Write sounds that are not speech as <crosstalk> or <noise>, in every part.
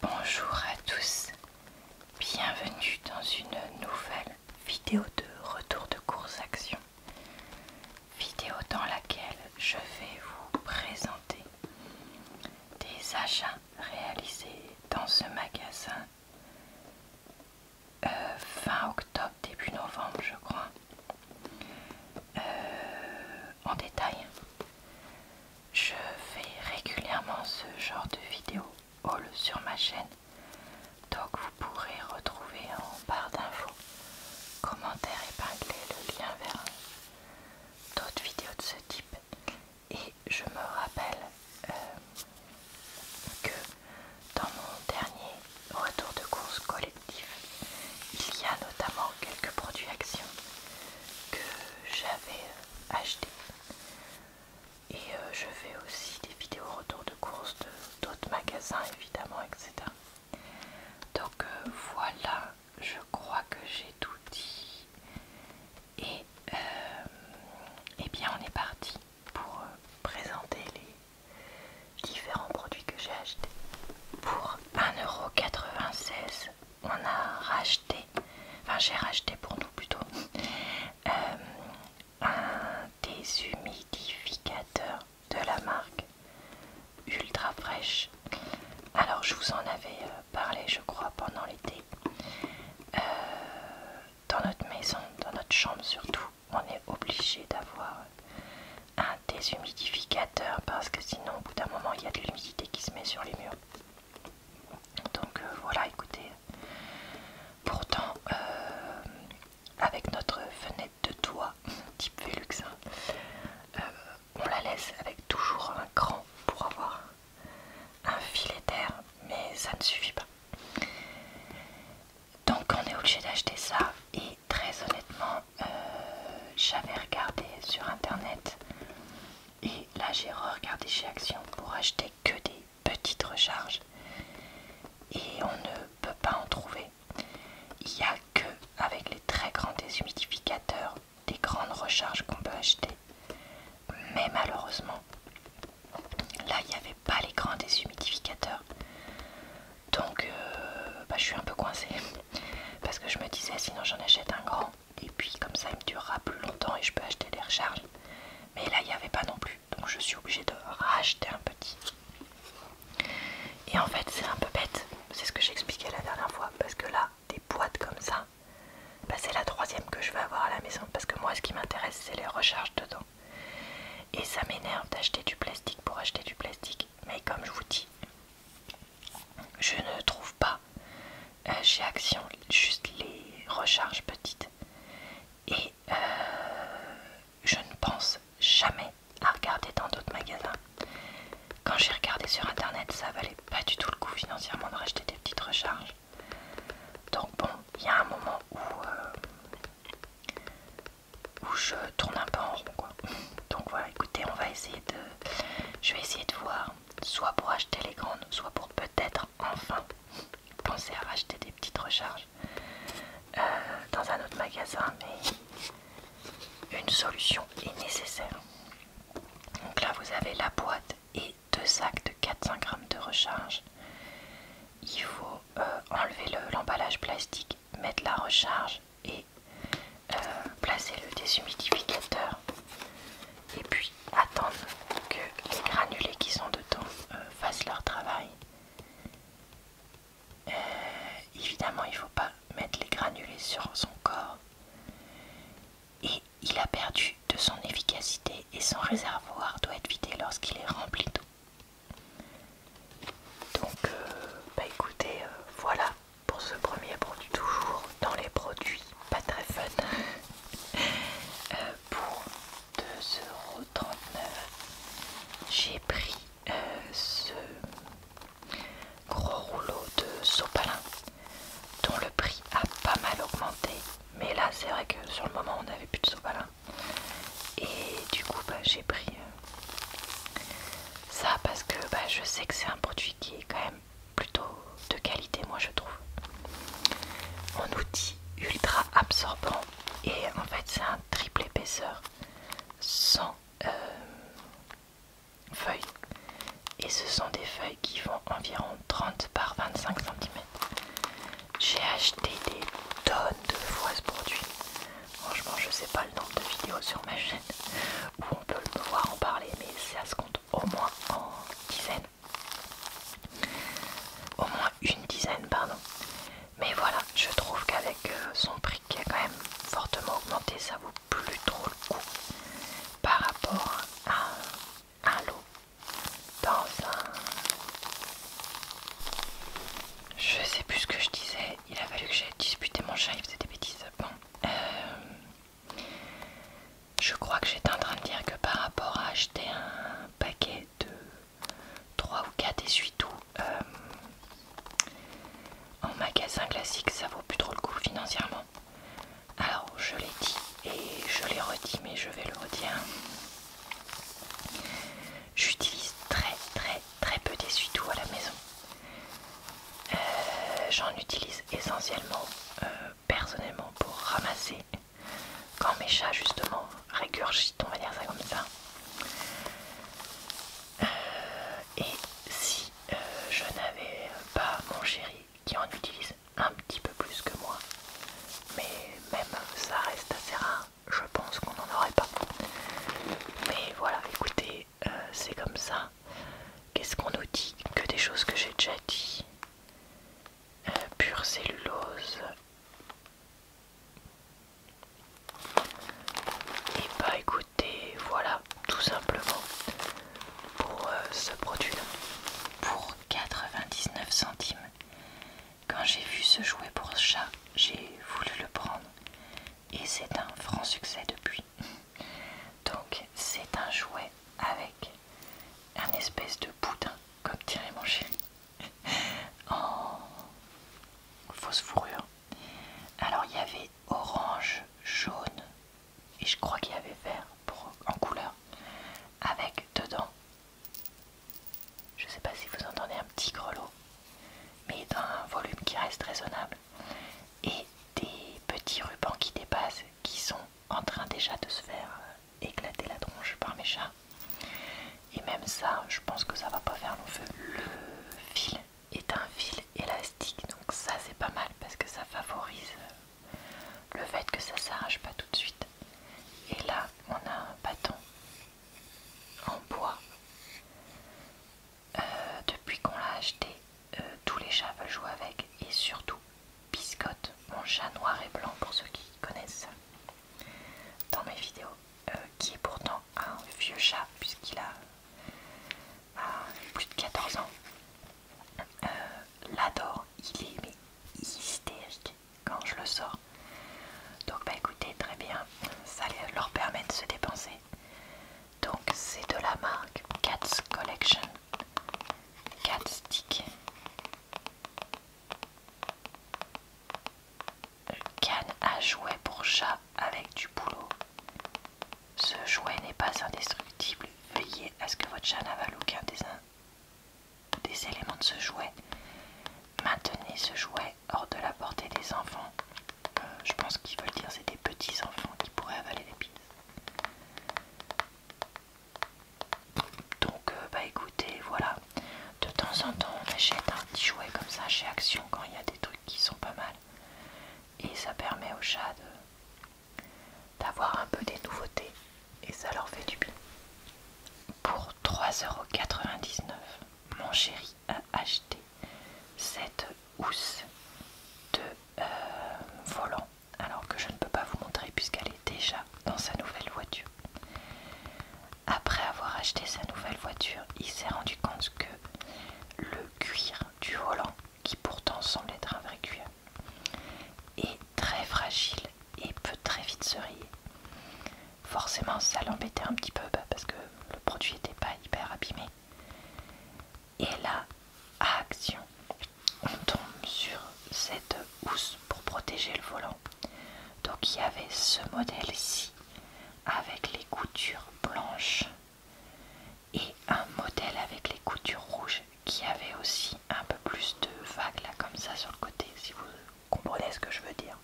Bonjour à tous, bienvenue dans une nouvelle vidéo de retour de course action. Vidéo dans laquelle je vais vous présenter des achats réalisés dans ce magasin euh, fin octobre, début novembre je crois. Euh, en détail. Je fais régulièrement ce genre de vidéos haul sur ma chaîne, donc vous pourrez retrouver en barre d'infos, commentaire épinglé, le lien vers d'autres vidéos de ce type. Et je me rappelle euh, que dans mon dernier retour de course collectif, il y a notamment quelques produits actions que j'avais acheté. Et euh, je fais aussi des vidéos retour de course de d'autres magasins évidemment, etc. Donc euh, voilà, je crois que j'ai tout dit. Et, et euh, eh bien on est parti pour présenter les différents produits que j'ai achetés. Pour 1,96€ on a racheté, enfin j'ai racheté pour nous plutôt, euh, un déshumidificateur de la marque Ultra Fraîche. Alors je vous en avais euh, parlé je crois pendant l'été. Euh, dans notre maison, dans notre chambre surtout, on est obligé d'avoir un déshumidificateur parce que sinon au bout d'un moment il y a de l'humidité qui se met sur les murs. Donc euh, voilà, écoutez, pourtant euh, avec notre fenêtre de toit <laughs> type Velux, hein, euh, on la laisse avec toujours un cran pour avoir un filet d'air, mais ça ne suffit pas. Donc on est obligé d'acheter ça et très honnêtement, j'avais regardé sur internet et là j'ai regardé chez Action pour acheter que des petites recharges et on ne peut pas en trouver. Il n'y a que avec les très grands déshumidificateurs des grandes recharges qu'on peut acheter. Mais malheureusement, là il n'y avait pas les grands déshumidificateurs. Donc euh, bah, je suis un peu coincée <laughs> parce que je me disais sinon j'en achète un grand et puis comme ça il me durera plus longtemps et je peux acheter des recharges mais là il n'y avait pas non plus donc je suis obligée de racheter un petit et en fait c'est un peu bête c'est ce que j'expliquais la dernière fois parce que là des boîtes comme ça bah, c'est la troisième que je vais avoir à la maison parce que moi ce qui m'intéresse c'est les recharges dedans et ça m'énerve d'acheter du plastique pour acheter du plastique mais comme je vous dis je ne trouve pas chez euh, Action juste les recharges petites. Et euh, je ne pense jamais à regarder dans d'autres magasins. Quand j'ai regardé sur internet, ça valait pas du tout le coup financièrement de racheter des petites recharges. Donc bon, il y a un moment où, euh, où je tourne un peu en rond Donc voilà, écoutez, on va essayer de... Je vais essayer de voir soit pour acheter les grandes, soit pour peut-être enfin penser à acheter des petites recharges euh, dans un autre magasin, mais une solution est nécessaire. Donc là, vous avez la boîte et deux sacs de 400 grammes de recharge. Il faut euh, enlever l'emballage plastique, mettre la recharge et euh, placer le déshumidificateur et puis attendre que les granulés qui sont dedans euh, fassent leur travail. Euh, évidemment, il ne faut pas mettre les granulés sur son corps. Et il a perdu de son efficacité et son réservoir doit être vidé lorsqu'il est rempli d'eau. Donc, bah écoutez, voilà pour ce premier produit, toujours dans les produits pas très fun, <laughs> euh, pour 2,39€, j'ai pris euh, ce gros rouleau de sopalin dont le prix a pas mal augmenté, mais là c'est vrai que sur le moment on n'avait plus de sopalin et du coup bah, j'ai pris euh, ça parce que bah, je sais que c'est un produit qui est quand même plutôt de qualité moi je trouve en outil ultra absorbant et en fait c'est un triple épaisseur sans euh, feuilles et ce sont des feuilles qui font environ 30 par 25 cm j'ai acheté des tonnes de fois ce produit franchement je sais pas le nombre de vidéos sur ma chaîne où on peut le voir en parler, mais ça se compte au moins en dizaines. Au moins une dizaine, pardon. Mais voilà, je trouve qu'avec euh, son prix qui a quand même fortement augmenté, ça vaut plus trop le coup par rapport à un lot dans un... Je sais plus ce que je disais, il a fallu que j'aille disputer mon chat, il faisait des bêtises. Bon, euh, je crois que j'étais en train de dire que par rapport à acheter un paquet de 3 ou 4 essuie-tout euh, en magasin classique, ça vaut plus trop le coup financièrement. Alors je l'ai dit et je l'ai redit, mais je vais le redire. J'utilise très très très peu d'essuie-tout à la maison. Euh, j'en utilise essentiellement euh, personnellement pour ramasser quand mes chats justement régurgitent, on va dire ça comme ça. Euh, et si je n'avais pas mon chéri qui en utilise un petit peu plus que moi, mais même ça reste assez rare, je pense qu'on n'en aurait pas. Mais voilà, écoutez, euh, c'est comme ça. Qu'est-ce qu'on nous dit Que des choses que j'ai déjà dit. Euh, pure cellulose. Et eh bah ben, écoutez, voilà, tout simplement, pour euh, ce produit-là. Pour 99 centimes. Quand j'ai vu ce jouet pour chat, j'ai voulu le prendre. Et c'est un franc succès depuis. Donc c'est un jouet avec un espèce de boudin, comme dirait mon chéri, <laughs> en fausse fourrure. Alors il y avait orange, jaune et je crois qu'il y avait vert en couleur, avec dedans, je sais pas si vous entendez un petit grelot, mais un volume qui reste raisonnable et des petits rubans qui dépassent qui sont en train déjà de se faire euh, éclater la tronche par mes chats. Et même ça, je pense que ça va pas faire long feu. Le fil est un fil élastique, donc ça c'est pas mal parce que ça favorise euh, le fait que ça s'arrache pas tout de suite. Et là, on a un bâton en bois euh, depuis qu'on l'a acheté, euh, tous les chats veulent jouer avec et surtout Biscotte, mon chat noir et blanc pour ceux qui connaissent dans mes vidéos, euh, qui est pourtant un vieux chat puisqu'il a bah, plus de 14 ans, l'adore, il est hystérique quand je le sors. Donc bah écoutez, très bien, ça leur permet de se dépenser. Donc c'est de la marque Cats Collection. Cat Stick. Can à jouet pour chat avec du boulot. Ce jouet n'est pas indestructible. Veillez à ce que votre chat n'avale aucun des, des éléments de ce jouet. Maintenez ce jouet hors de la portée des enfants euh, je pense qu'ils veulent dire c'est des petits enfants qui pourraient avaler des pizzas. Donc, euh, bah écoutez, voilà. De temps en temps, on achète un petit jouet comme ça chez Action quand il y a des trucs qui sont pas mal. Et ça permet aux chats d'avoir un peu des nouveautés. Et ça leur fait du bien. Pour 3,99€, mon chéri a acheté cette housse de euh, volant alors que je ne peux pas vous montrer puisqu'elle est déjà dans sa nouvelle voiture. Après avoir acheté sa nouvelle voiture, il s'est rendu compte que le cuir du volant, qui pourtant semble être un vrai cuir, est très fragile et peut très vite se rayer. Forcément, ça l'embêtait un petit peu bah, parce que le produit n'était pas hyper abîmé. Et là, action, on tombe sur cette housse pour protéger le volant. Donc il y avait ce modèle ici, avec les coutures blanches et un modèle avec les coutures rouges qui avait aussi un peu plus de vagues là comme ça sur le côté si vous comprenez ce que je veux dire.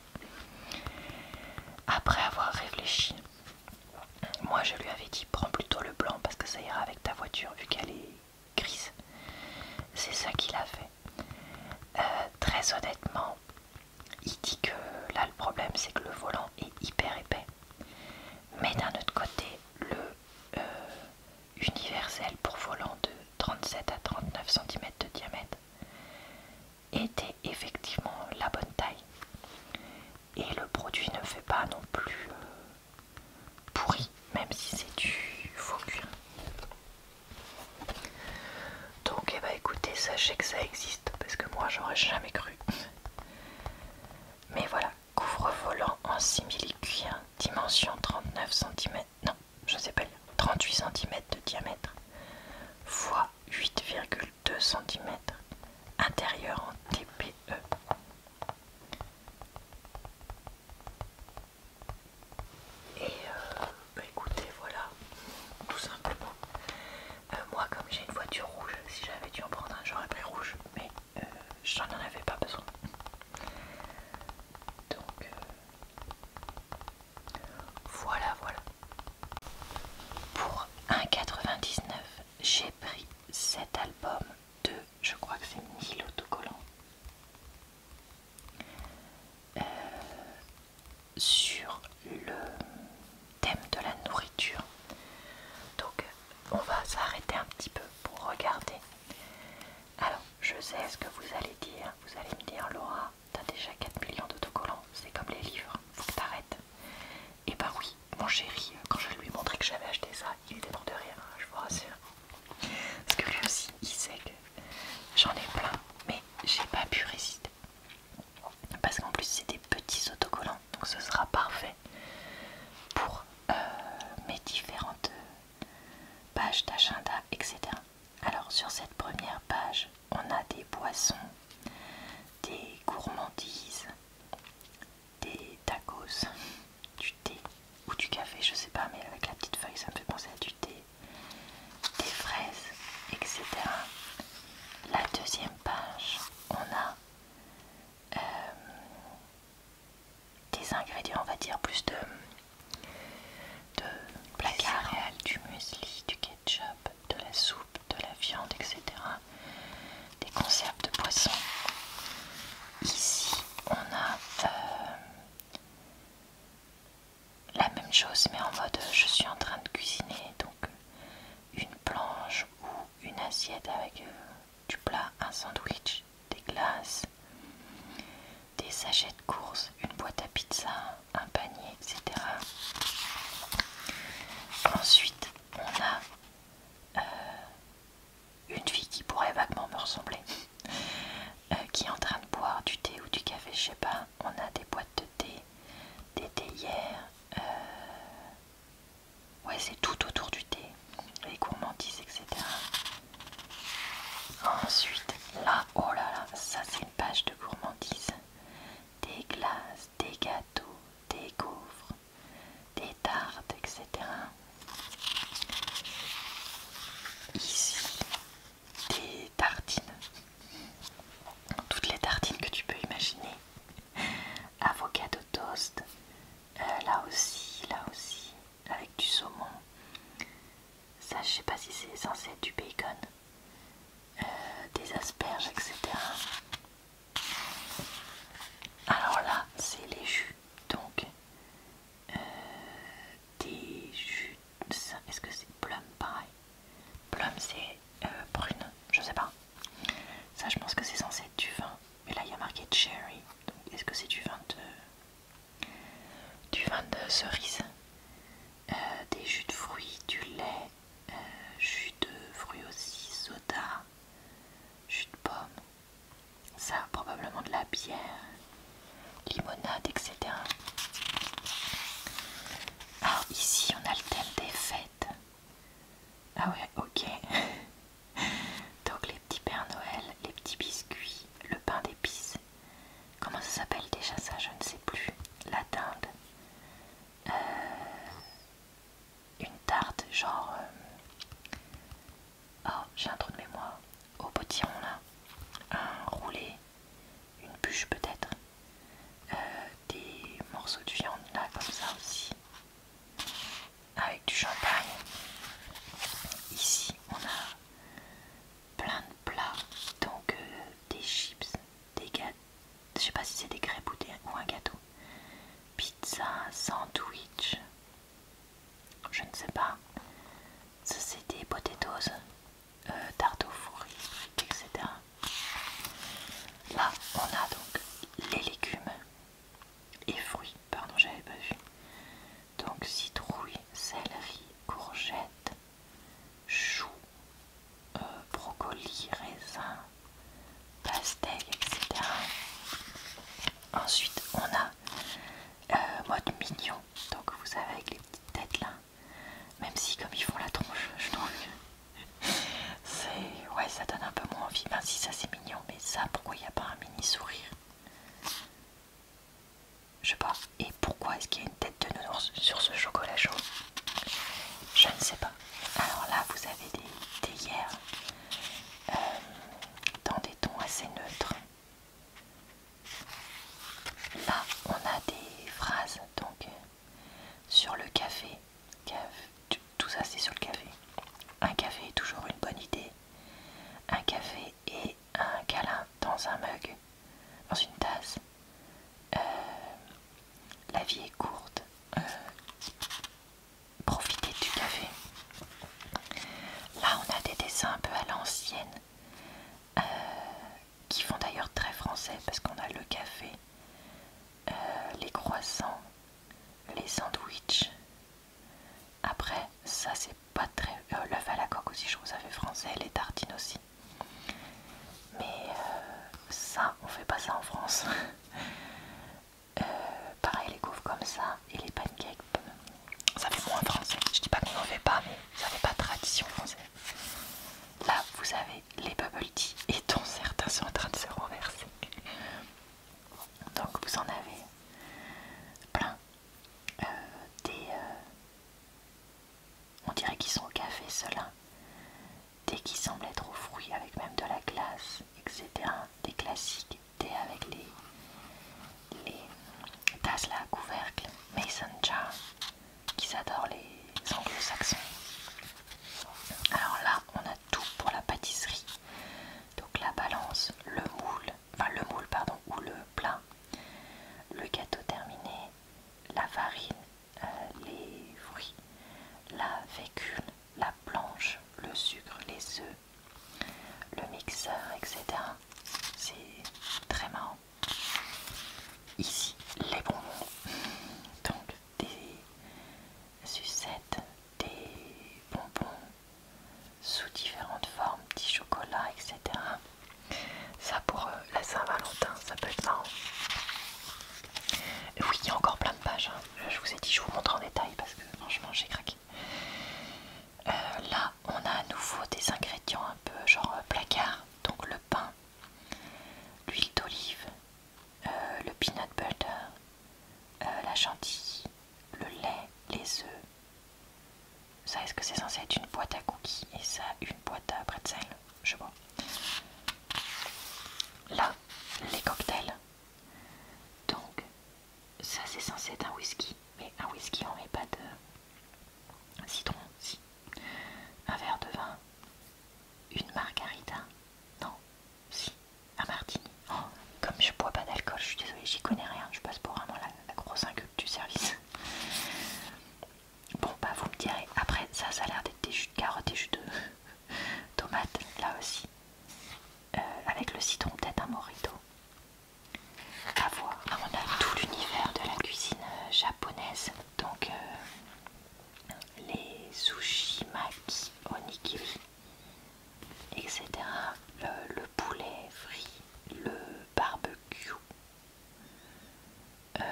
Après avoir réfléchi, moi je lui avais dit prends plutôt le blanc parce que ça ira avec ta voiture vu qu'elle est grise. C'est ça qu'il a fait. Euh, très honnêtement, il dit que là le problème c'est que le volant est hyper épais. Mais d'un autre côté, le euh, universel pour volant de 37 à 39 cm de diamètre, était effectivement la bonne taille et le produit ne fait pas non plus euh, pourri même si c'est du faux cuir donc et eh bah ben, écoutez sachez que ça existe parce que moi j'aurais jamais cru mais voilà couvre-volant en simili cuir dimension 39 cm non je sais pas 38 cm de diamètre x 8,2 cm intérieur en TPE. Et euh, bah écoutez, voilà, tout simplement. Euh, moi, comme j'ai une voiture rouge, si j'avais dû en prendre un, j'aurais pris rouge, mais euh, j'en avais pas besoin. Donc, voilà, voilà. Pour 1,99, j'ai pris cet album de, je crois que c'est 1000 autocollants. Euh, sur le thème de la nourriture. Donc on va s'arrêter un petit peu pour regarder. Alors je sais ce que vous allez dire. Vous allez me dire Laura, t'as déjà 4 millions d'autocollants. C'est comme les livres, faut que t'arrêtes. Et eh bah ben oui, mon chéri, quand je lui ai montré que j'avais acheté ça, il était mort de rire, hein, je vous rassure. Parce que lui aussi, il sait que j'en ai plein, mais j'ai pas pu résister. Parce qu'en plus, c'est des petits autocollants, donc ce sera parfait pour euh, mes différentes pages d'agenda, etc. Alors, sur cette première page, on a des boissons, des gourmandises, des tacos, du thé ou du café, je sais pas, mais avec la petite feuille ça me fait penser à du thé, des fraises, etc. La deuxième page, on a euh, des ingrédients, on va dire, plus de, de placard, du muesli, du de la soupe, de la viande, etc. Des conserves de poisson. Ici, on a euh, la même chose, mais en mode je suis en train de cuisiner. Donc, une planche ou une assiette avec euh, du plat, un sandwich, des glaces, des sachets de courses, une boîte à pizza, un panier etc. Ensuite, on a euh, une fille qui pourrait vaguement me ressembler, <laughs> euh, qui est en train de boire du thé ou du café, je sais pas. On a des boîtes de thé, des théières. Euh, ouais, c'est tout autour du thé, les gourmandises, etc. Ensuite, là, oh là là, ça c'est une page de gourmandises des glaces, des gâteaux, des gaufres, des tartes, etc. Ici, des tartines. Toutes les tartines que tu peux imaginer. Avocado toast, euh, là aussi, là aussi, avec du saumon. Ça, je sais pas si c'est censé être du bacon. Euh, des asperges, etc. Alors là, c'est les jus, donc euh, des jus. Est-ce que c'est plum pareil Plum, c'est brune, euh, prune, je sais pas. Ça, je pense que c'est censé être du vin, mais là il y a marqué cherry. Donc, est-ce que c'est du vin de du vin de cerise Des jus de fruits, du lait, euh, jus de fruits aussi, soda, jus de pomme, ça probablement de la bière, limonade, etc. Alors, ah, ici on a le thème des fêtes. Ah ouais, ok. <laughs> Donc les petits Pères Noël, les petits biscuits, le pain d'épices. Comment ça s'appelle déjà ça Je ne sais plus. La dinde. Euh, une tarte genre euh, oh j'ai un trou de mémoire au potiron là un roulé une bûche peut-être euh, des morceaux de viande là comme ça aussi avec du champagne ici on a plein de plats donc des chips des gâteaux je sais pas si c'est des crêpes ou, ou un gâteau. Pizza, sandwich, je ne sais pas. c'est des potatoes, euh, tarte aux etc. Là on a donc les légumes et fruits, pardon j'avais pas vu. Donc citrouille, céleri, courgette, chou, euh, brocoli, raisin, pastèque, etc. Ensuite, on a euh, mode mignon, donc vous savez avec les petites têtes là, même si comme ils font la tronche, je trouve <laughs> c'est ouais, ça donne un peu moins envie. Ben si ça c'est mignon, mais ça pourquoi il n'y a pas un mini sourire Je sais pas. Et pourquoi est-ce qu'il y a une tête de nounours sur ce chocolat chaud je ne sais pas. Alors là, vous avez des théières euh, dans des tons assez neutres. Là, on a des phrases donc sur le café. Tout ça, c'est sur le café. Un café est toujours une bonne idée. Un café et un câlin dans un mug, dans une tasse. Euh, la vie est courte. Euh, profitez du café. Là, on a des dessins un peu à l'ancienne. Euh, qui font d'ailleurs très français parce qu'on a le café, les croissants, les sandwichs. Après, ça c'est pas très. Euh, l'œuf à la coque aussi, je trouve ça fait français, les tartines aussi. Mais euh, ça, on fait pas ça en France. <laughs> Euh, pareil, les gaufres comme ça et les pancakes, ça fait moins français. Je dis pas qu'on en fait pas, mais ça fait pas tradition française. Là, vous avez les bubble tea <laughs> et dont certains sont en train de se renverser. Donc, vous en avez plein. Euh, des, on dirait qu'ils sont au café, ceux-là. qui semblent être au fruit avec même de la glace, etc. Des classiques, thé avec les, les tasses à couvercle, mason jar, qui adorent les anglo-saxons. Alors là, on a tout pour la pâtisserie. Donc la balance, le moule, enfin le moule, pardon, ou le plat, le gâteau terminé, la farine, euh, les fruits, la vécule, la planche, le sucre, les œufs, le mixeur, etc. C'est très marrant. Ici, les bonbons. Donc, des sucettes, des bonbons sous différentes formes, petits chocolats, etc. Ça pour euh, la Saint-Valentin, ça peut être marrant. Euh, oui, il y a encore plein de pages. Hein. Je vous ai dit, je vous montre en détail parce que franchement, j'ai craqué. Euh, là, on a à nouveau des ingrédients un peu genre placard. Donc le pain, l'huile d'olive, le peanut butter, la chantilly, le lait, les œufs. Ça, est-ce que c'est censé être une boîte à cookies et ça, une boîte à pretzel je vois. Là, les cocktails. Donc, ça c'est censé être un whisky, mais un whisky on met pas de citron, si. Un verre de vin, une margarita, non, si, un martini. Oh, comme je bois pas d'alcool, je suis désolée, j'y connais rien, je passe pour vraiment la grosse inculte du service. Bon, bah vous me direz, après ça, ça a l'air d'être des jus de carottes et jus de <laughs> tomates, là aussi. Euh, avec le citron, peut-être un morito. À voir. Ah, on a tout l'univers de la cuisine euh, japonaise. Donc, euh, les sushi, mats, onigiri, etc. le poulet frit, le barbecue, euh,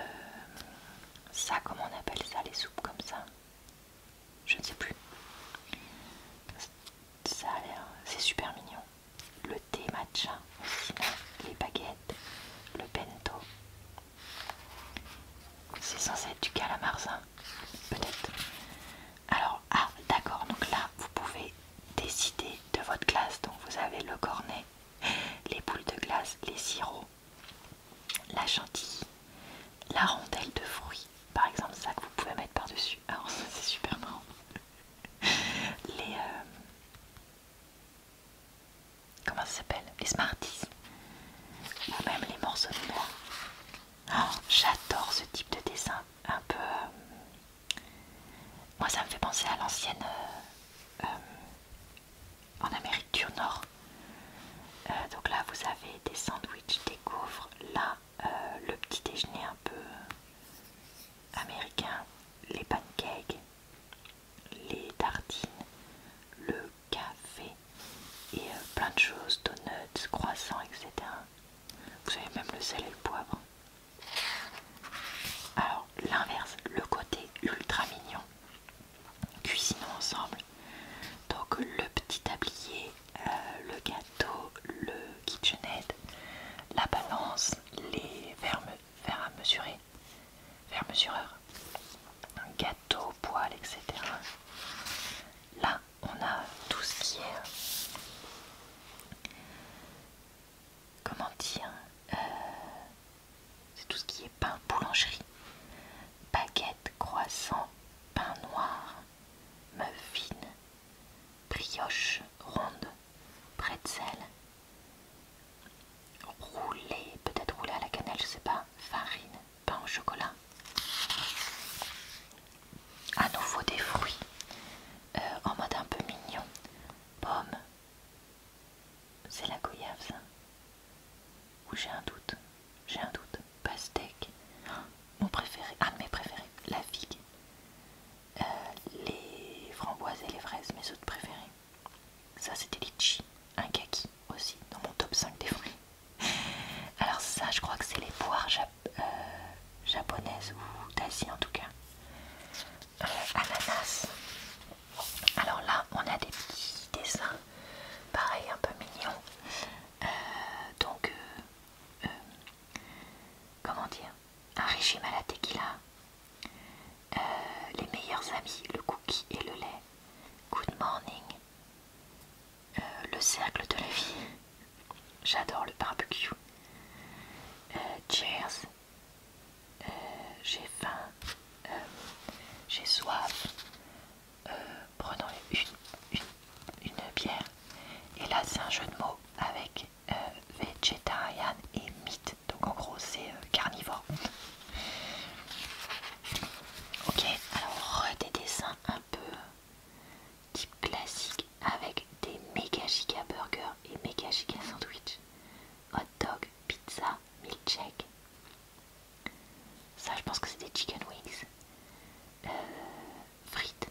ça, comment on appelle ça, les soupes comme ça Je ne sais plus. Ça a l'air, c'est super mignon. Le thé matcha, les baguettes, le bento. C'est censé être du calamarzin, Peut-être. Alors, ah, d'accord, donc là, vous pouvez décider de votre classe. Donc, vous avez le cornet les boules de glace, les sirops, la chantilly, la rondelle de fruits, par exemple ça que vous pouvez mettre par-dessus. Alors ah, <laughs> ça c'est super marrant. Les... Euh, comment ça s'appelle Les Smarties. Ou ah, même les morceaux de noix. Alors, ah, J'adore ce type de dessin. Un peu... Euh, moi ça me fait penser à l'ancienne... Euh, en Amérique du Nord. Euh, donc là, vous avez des sandwichs, des gaufres. Là, euh, le petit déjeuner un peu américain, les pancakes, les tartines, le café et euh, plein de choses, donuts, croissants, etc. Vous avez même le sel et le poivre. Alors l'inverse, le côté ultra mignon, cuisinons ensemble. Donc le petit tablier, euh, le gâteau, le KitchenAid, la balance, les verres, verres à mesurer, verres un gâteau, poêle, etc. Là, on a tout ce qui est comment dire, euh, c'est tout ce qui est pain boulangerie, baguette, croissant, pain noir, fine brioche ronde, pretzel, roulé, peut-être roulé à la cannelle, je sais pas, farine, pain au chocolat. À nouveau des fruits euh, en mode un peu mignon, pomme c'est la goyave, ça Ou j'ai un doute J'ai un doute. Pastèque. Oh, mon préféré. ah, mes préférés. La figue. Euh, les framboises et les fraises, mes autres préférés. Ça, c'était litchi. Un kaki aussi, dans mon top 5 des fruits. Alors, ça, je crois que c'est les poires euh, japonaises ou d'Asie en tout cas ananas. Alors là, on a des petits dessins, pareil, un peu mignon. Euh, donc, euh, euh, comment dire Un régime à la tequila. les meilleurs amis, le cookie et le lait. Good morning. le cercle de la vie. J'adore le barbecue. cheers. Euh, j'ai faim, euh, j'ai soif, euh, prenons une, bière. Et là, c'est un jeu de mots avec Vegetarian et mythe. Donc, en gros, c'est carnivore. Ok, alors, des dessins un peu type classique avec des méga giga burgers et méga giga sandwich, hot dog, pizza milkshake. Ça, je pense que c'est des chicken wings. Euh, frites,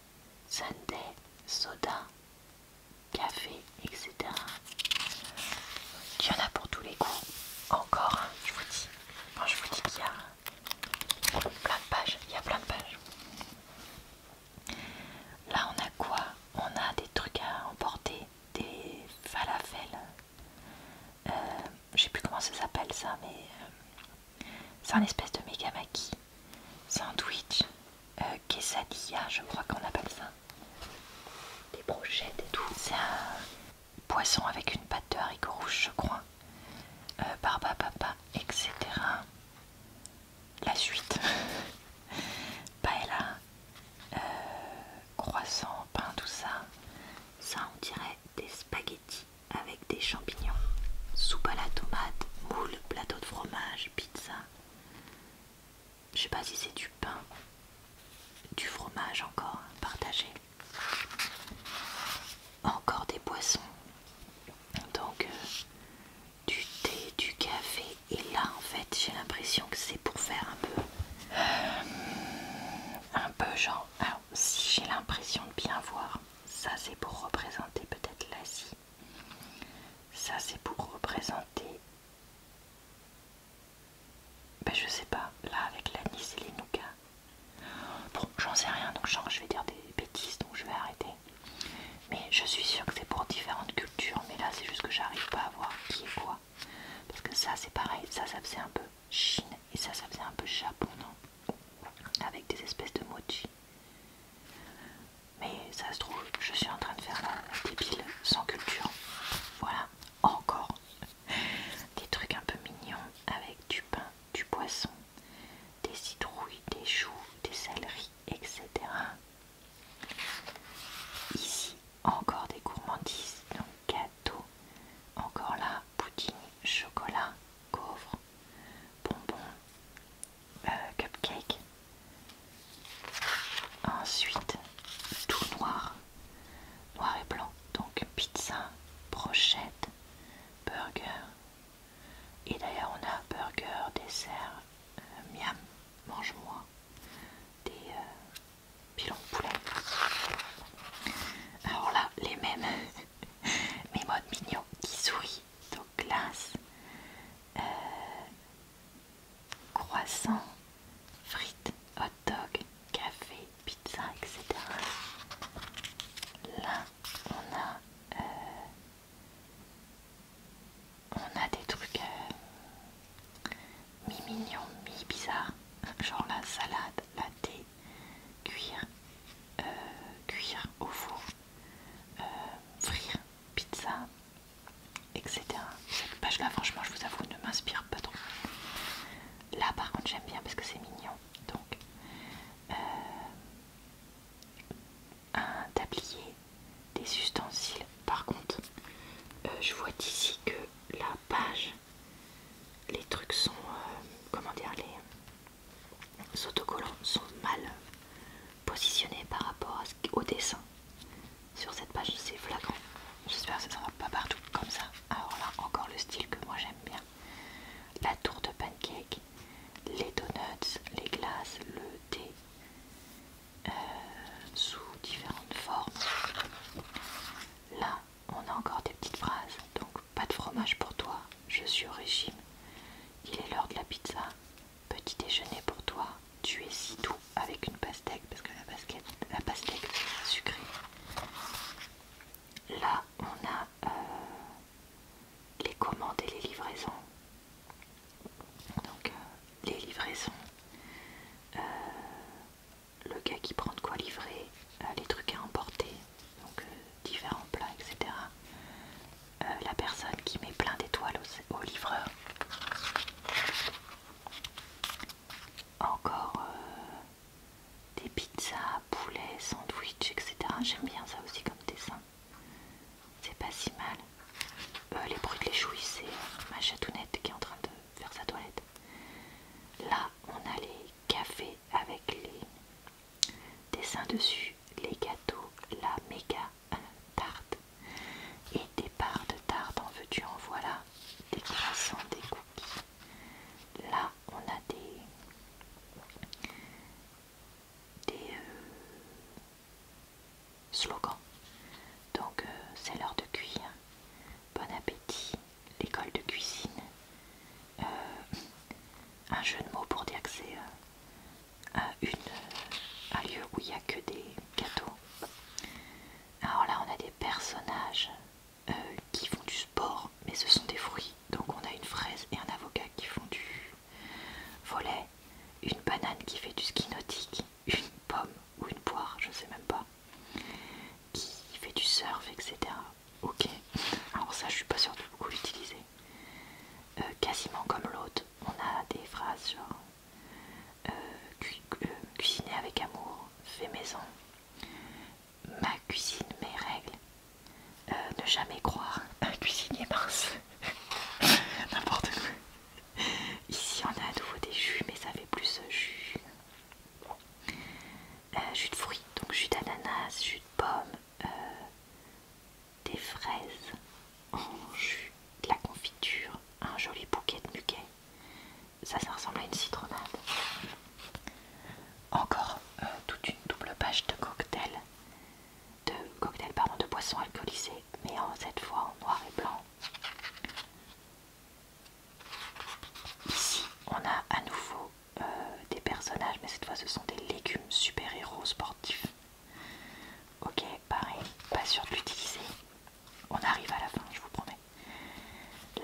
sundae, soda, café, etc. Il y en a pour tous les goûts. Encore, je vous dis. je vous dis qu'il y a plein de pages. Il y a plein de pages. Là, on a quoi On a des trucs à emporter des falafels. Euh, j'ai plus comment ça s'appelle ça, mais euh, c'est un espèce de megamaki, sandwich, euh, quesadilla, je crois qu'on appelle ça. Des brochettes et tout. C'est un poisson avec une pâte de haricots rouges, je crois. Barbapapa, etc. La suite. <laughs> Paella, euh, croissant, pain, tout ça, ça on dirait des spaghettis avec des champignons, soupe à la tomate, moule, plateau de fromage, pizza. Je sais pas si c'est du pain, du fromage encore, partagé. Encore des poissons. Donc euh, du thé, du café. Et là, en fait, j'ai l'impression que c'est pour faire un peu... Euh, un peu genre... si j'ai l'impression de bien voir, ça c'est pour représenter peut-être l'Asie. Ça c'est pour représenter... Ben, je sais pas, là avec l'anis et les Nuka. Bon, j'en sais rien, donc je vais dire des bêtises, donc je vais arrêter. Mais je suis sûre que c'est pour différentes cultures mais là c'est juste que j'arrive pas à voir qui est quoi. Parce que ça c'est pareil, ça ça faisait un peu Chine et ça ça faisait un peu Japon, non Avec des espèces de mochi. Mais ça se trouve, je suis en train de faire des piles sans culture. Voilà, encore <laughs> des trucs un peu mignons avec du pain, du poisson, des citrouilles, des choux, des saleries, etc. Ici, encore des gourmandises, donc gâteau, Encore là, poutine, chocolat, gaufre, bonbons, euh, cupcake. Ensuite, tout noir, noir et blanc. Donc pizza, brochette, burger. Et d'ailleurs, on a burger, dessert, euh, miam, mange-moi des pilons euh, de poulet. Alors là, les mêmes, <laughs> mes modes mignons qui sourit donc glace, euh, croissant, frites, hot dog, café, pizza, etc. Là, on a euh, on a des trucs euh, mi-mignons, mi-bizarres, genre la salade, la thé, cuire, euh, au four, euh, frire, pizza, etc. Cette page là, franchement, je vous avoue, ne m'inspire pas trop. Là, par contre, j'aime bien parce que c'est mignon. Donc, un tablier des ustensiles. Par contre, euh, je vois d'ici que la page, les trucs sont, euh, comment dire, les autocollants sont mal positionnés par rapport au dessin. Sur cette page, c'est flagrant. J'espère que ça ne va pas partout comme ça. Alors là, encore le style que moi j'aime bien. La tour de pancake, les donuts, les glaces, le thé, euh, sous différentes formes. Là, on a encore des petites phrases. Donc, pas de fromage pour toi, je suis au régime. Il est l'heure de la pizza. Petit déjeuner pour toi, tu es si doux avec une pastèque, parce que la, pastèque est sucrée, Là, on a euh, les commandes et les livraisons. Donc euh, les livraisons, euh, le gars qui prend de quoi livrer, euh, les trucs à emporter, donc différents plats, etc. la personne qui met plein d'étoiles au, livreur. Encore des pizzas, poulets, sandwichs, etc. J'aime bien ça aussi comme dessin. C'est pas si mal. Euh, les bruits de les c'est ma chatounette qui est en train de faire sa toilette. Là, on a les cafés avec les dessins dessus, les gâteaux, la méga tarte et des parts de tarte en veux-tu en voilà, des croissants, des cookies. Là, on a des des, euh, Slogan. Donc euh, c'est l'heure de cuire. Bon appétit, l'école de cuisine. Euh, un jeu de mots pour dire que c'est euh, un, lieu où il n'y a que des gâteaux. Alors là on a des personnages qui font du sport, mais ce sont des fruits. Donc on a une fraise et un avocat qui font du Volet, une banane qui fait du ski nautique, une pomme ou une poire, je sais même pas, qui fait du surf, etc. Ok, alors ça je suis pas sûre de beaucoup l'utiliser. Euh, quasiment comme l'autre, on a des phrases genre euh, euh, cuisiner avec amour, fait maison, ma cuisine, mes règles, ne jamais croire, un <laughs> cuisinier mince, <laughs> n'importe quoi. Ici, on a à nouveau des jus, mais ça fait plus jus. Euh, jus de fruits, donc jus d'ananas, jus de pomme, euh, des fraises en jus, de la confiture, un joli bouquet de muquets. Ça, ça ressemble à une citronade. Encore euh, toute une double page de cocktails, de cocktails pardon, de boissons alcoolisées mais cette fois en noir et blanc. Ici, on a à nouveau euh, des personnages, mais cette fois ce sont des légumes super-héros sportifs. Ok, pareil, pas sûr de On arrive à la fin, je vous promets.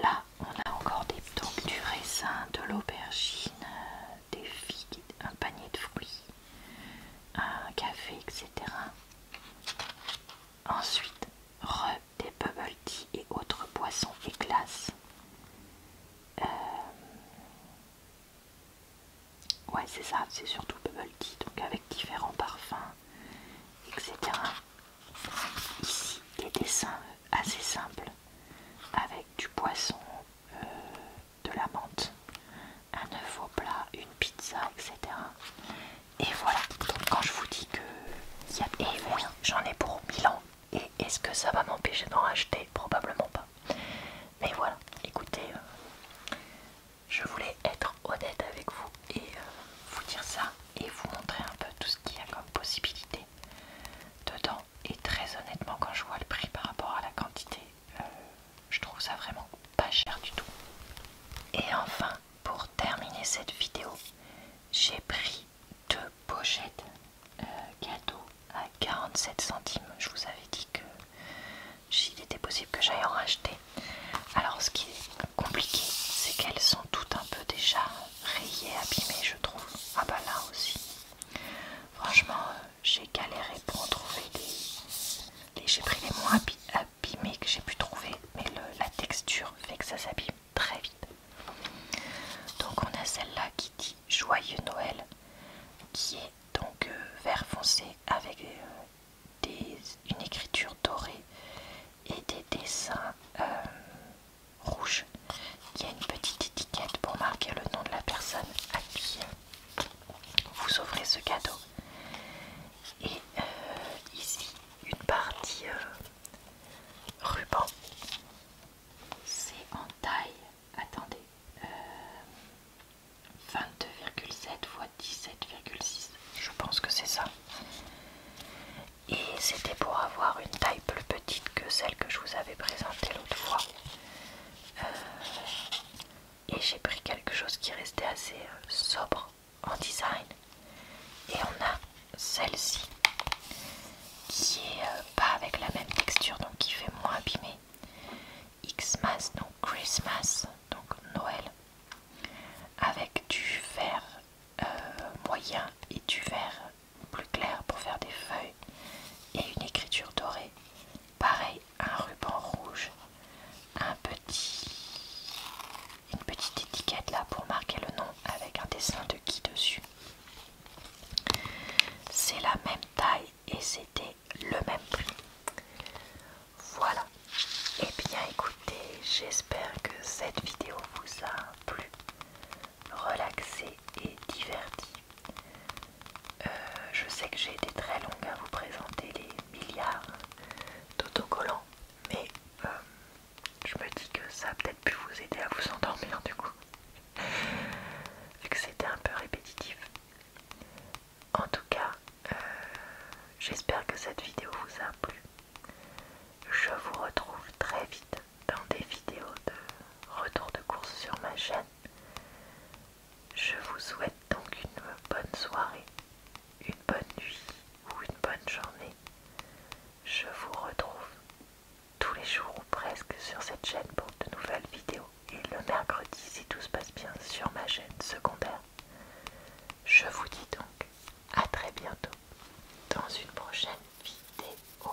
Là, on a encore des donc, du raisin, de l'aubergine, euh, des figues, un panier de fruits, un café, etc. Ensuite, re des bubble tea et autres poissons et glaces. Euh, ouais, c'est ça, c'est surtout bubble tea, donc avec différents parfums, etc. Ici, des dessins assez simples avec du poisson, euh, de la menthe, un œuf au plat, une pizza, etc. Et voilà, donc quand je vous dis que... Et oui, j'en ai pour 1000 ans. Et est-ce que ça va m'empêcher d'en acheter Probablement pas. Mais voilà, écoutez, euh, je voulais être honnête avec vous et euh, vous dire ça et vous montrer un peu tout ce qu'il y a comme possibilité dedans. Et très honnêtement, quand je vois le prix par rapport à la quantité, euh, je trouve ça vraiment pas cher du tout. Et enfin, pour terminer cette vidéo, j'ai pris deux pochettes euh, cadeaux à 47 centimes. Je vous avais dit que s'il était possible que j'aille en racheter. Alors ce qui est compliqué, c'est qu'elles sont toutes un peu déjà rayées, abîmées, je trouve. Ah bah là aussi. Franchement, euh, j'ai galéré pour en trouver des, j'ai pris les moins abîmés que j'ai pu trouver, mais la texture fait que ça s'abîme très vite. Donc on a celle-là qui dit Joyeux Noël, qui est donc euh, vert foncé avec euh, une écriture dorée et des dessins euh, rouges. Il y a une petite étiquette pour marquer le nom de la personne à qui vous ouvrez ce cadeau. Et euh, ici, une partie euh, ruban. C'est en taille, attendez, 22,7 x 17,6. Je pense que c'est ça. Et c'était pour avoir une taille plus petite que celle que je vous avais présentée l'autre fois. Euh, et j'ai pris quelque chose qui restait assez euh, sobre en design et on a celle-ci qui est euh, pas avec la même texture donc qui fait moins abîmé Xmas donc Christmas donc Noël avec du vert euh, moyen et du vert plus clair pour faire des feuilles et une écriture dorée pareil un ruban rouge, un petit, une petite étiquette là pour marquer le nom avec un dessin de qui dessus. C'est la même taille et c'était le même prix. Voilà. Eh bien écoutez, j'espère que cette vidéo vous a plu, relaxé et diverti. Euh, je sais que j'ai été très longue à vous présenter les milliards d'autocollants, mais euh, je me dis que ça a peut-être pu vous aider à vous endormir du coup, <laughs> vu que c'était un peu répétitif. En tout cas, euh, j'espère que cette vidéo vous a plu. Je vous retrouve très vite dans des vidéos de retour de course sur ma chaîne. Je vous souhaite donc une bonne soirée, une bonne nuit ou une bonne journée. Je vous retrouve tous les jours ou presque sur cette chaîne pour de nouvelles vidéos et le mercredi si tout se passe bien sur ma chaîne secondaire. Je vous dis donc à très bientôt dans une prochaine vidéo.